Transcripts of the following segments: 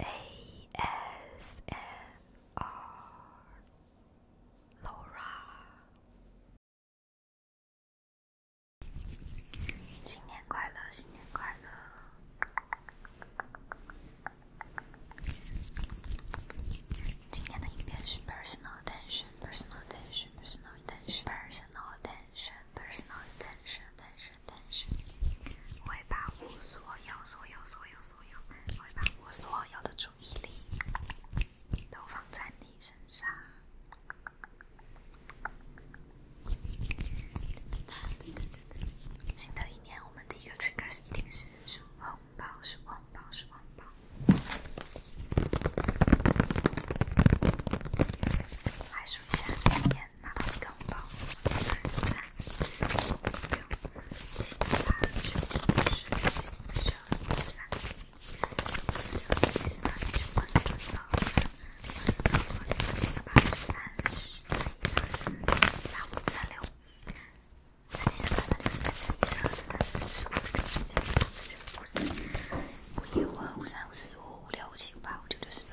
A S N R，Laura，新年快乐，新年快乐。今天的音频是 personal attention，personal attention，personal attention，personal attention，personal attention，attention。但是，会把我所有、所有、所有、所有，会把我所有的注意力都放在你身上。新的一年，我们的一个 triggers 一定是数红包、数红包、数红包。来数一下，两遍。拿到几个红包？三四二三四五六七八九二十。二二二二二二二二二二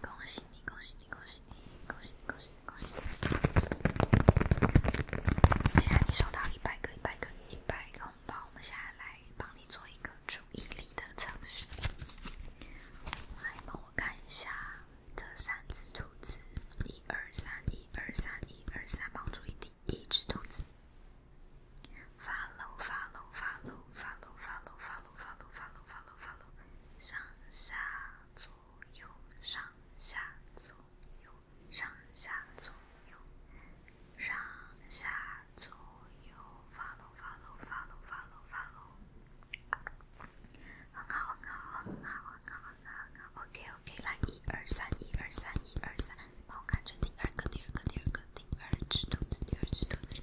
恭喜你，恭喜你，恭喜你，恭喜你，恭喜你，恭喜你！既然你收到一百个、一百个、一百个红包，我们现在来帮你做一个注意力的测试。来，帮我看一下这三只兔子，一二三，一二三，一二三，帮注意力第一只兔子。follow follow follow follow follow follow follow follow follow follow，上下左右上下左右上下左右上下左右 follow follow follow follow follow，很好很好很好很好很好很好，OK OK，来一二三一二三一二三，帮我看着第二个第二个第二个第二只兔子第二只兔子。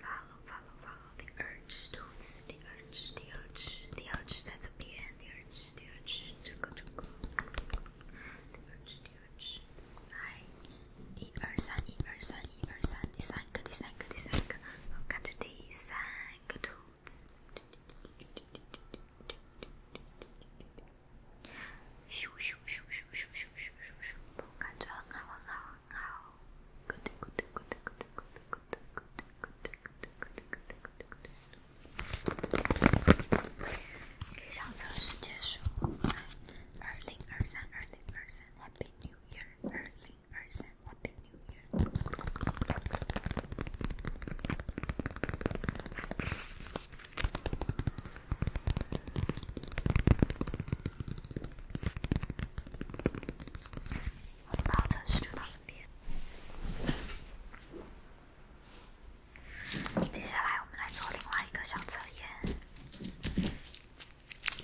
发了发了发了！第二只兔子，第二只第二只第二只在这边，第二只第二只，这个这个，第二只第二只，来，一二三一二三一二三，第三个第三个第三个，我感觉第三个兔子，咻咻咻咻咻咻咻咻咻，我感觉很好很好很好。上车时间数，二零二三，二零二三，Happy New Year，二零二三，Happy New Year。边。接下来，我们来做另外一个小测验。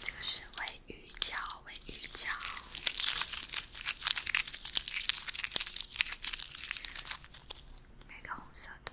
这个是位于角，位于角。那个红色的。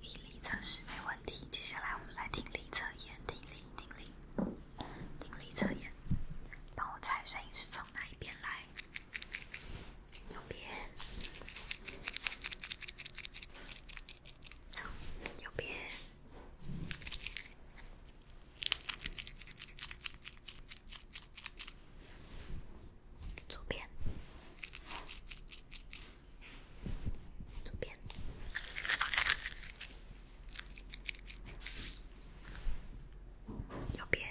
毅力测试没问题，接下来我们来听力测验，听力，听力，听力测验，帮我猜声音是从哪一边来，右边，从右边，左边。左边，右边，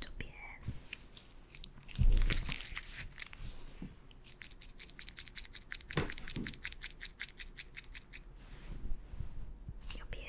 左边，右边。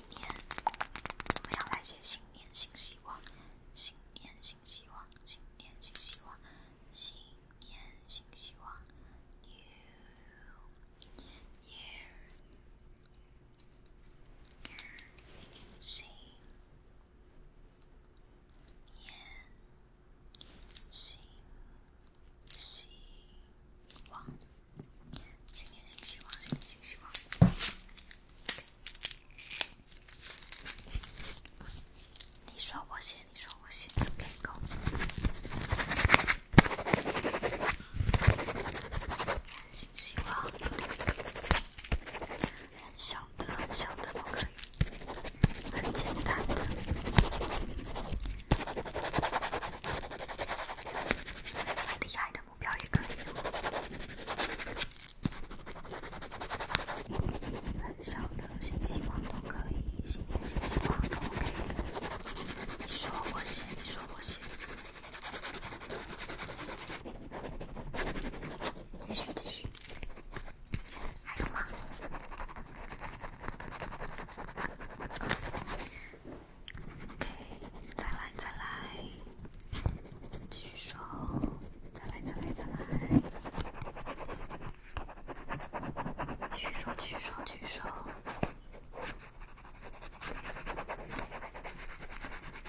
新年，我要来些新年新希望，新年新希望，新年新希望，n e y e a 新年新希望。新年新希望，新年新希望。你说我写，你说我写，开工。新希望，很小的，小的都可以，很简单的。厉害的目标也可以，很小的信息网都可以，新的信息网都 OK。你说我写，你说我写，继续继续，还有吗？OK，再来再来，继续说，再来再来再来，继续说继续说继续说，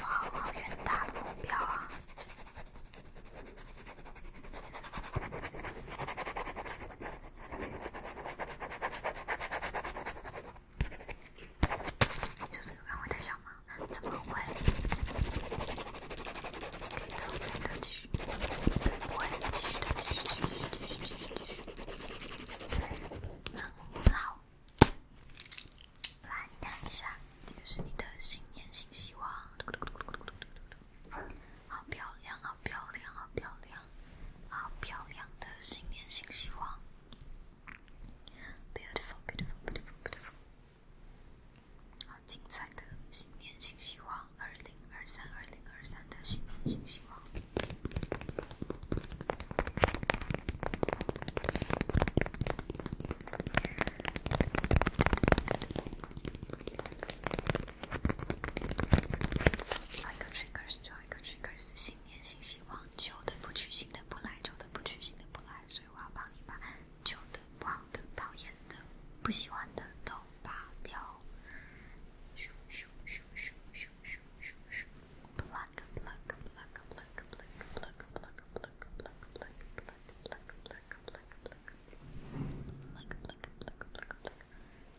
好好远大的目标啊！你说这个笔会太小吗？怎么会？继续，继续，继续，继续，继续，继续，继续，继续，继续，继续，继续，继续，继好漂亮的新年新希望，beautiful beautiful beautiful beautiful。好精彩的新年新希望，二零二三二零二三的新年新希望。一个 trigger 是信念、新希望。旧的不去，新的不来。旧的不去，新的不来。所以我要帮你把旧的、不好的、讨厌的、不喜欢的都拔掉。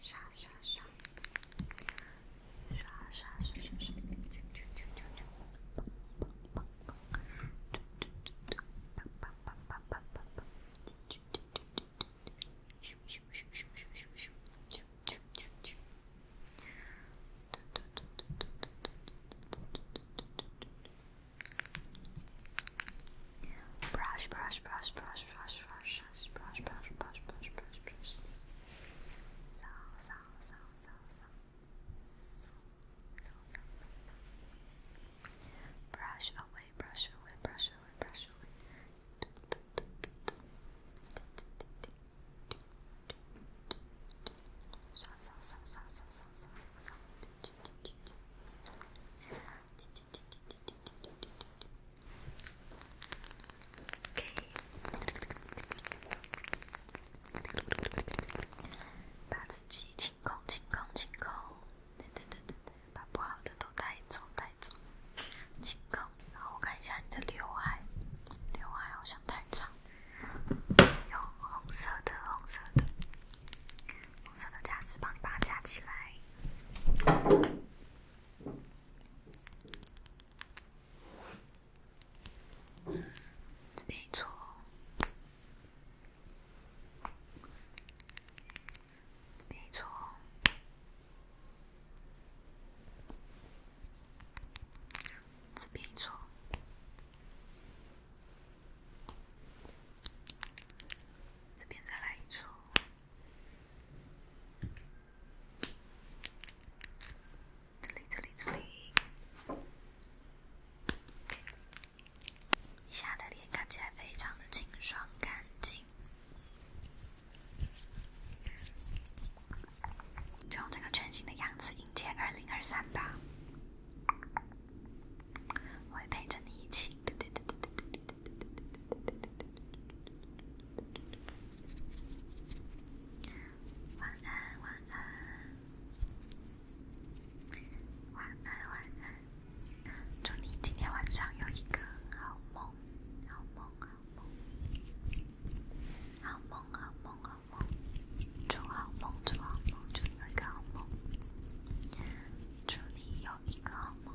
刷刷刷，刷刷刷刷刷，啾啾啾啾啾，砰砰砰砰，嘟嘟嘟嘟，砰砰砰砰砰砰砰，嘟嘟嘟嘟嘟嘟嘟，咻咻咻咻咻咻咻，嘟嘟嘟嘟，刷刷刷刷刷刷刷刷啾啾啾啾啾砰砰砰砰嘟嘟嘟嘟砰砰砰砰 brush, brush, brush, brush, brush, brush, brush. So, so, so, so, so, so, so, so, so, so. Brush away, brush away, brush away, brush away. So, so, so, so, so, so, so, so, so. 把自己清空，清空，清空，把不好的都带走，带走，清空。然后我看一下你的刘海，刘海好像太长，用红色的，红色的，红色的夹子帮你把它夹起来。这边一撮，这边一撮，这边一撮，这边再来一撮。擦一擦一擦一，你的脸看起来非常的清爽干净，就用这个全新的样子迎接二零二三吧，我会陪着你一起。晚安，晚安，晚安，晚安！祝你今天晚上有一个好梦，好梦，好梦，好梦，好梦，祝好梦，祝好梦，祝你一个好梦，祝你有一个好梦。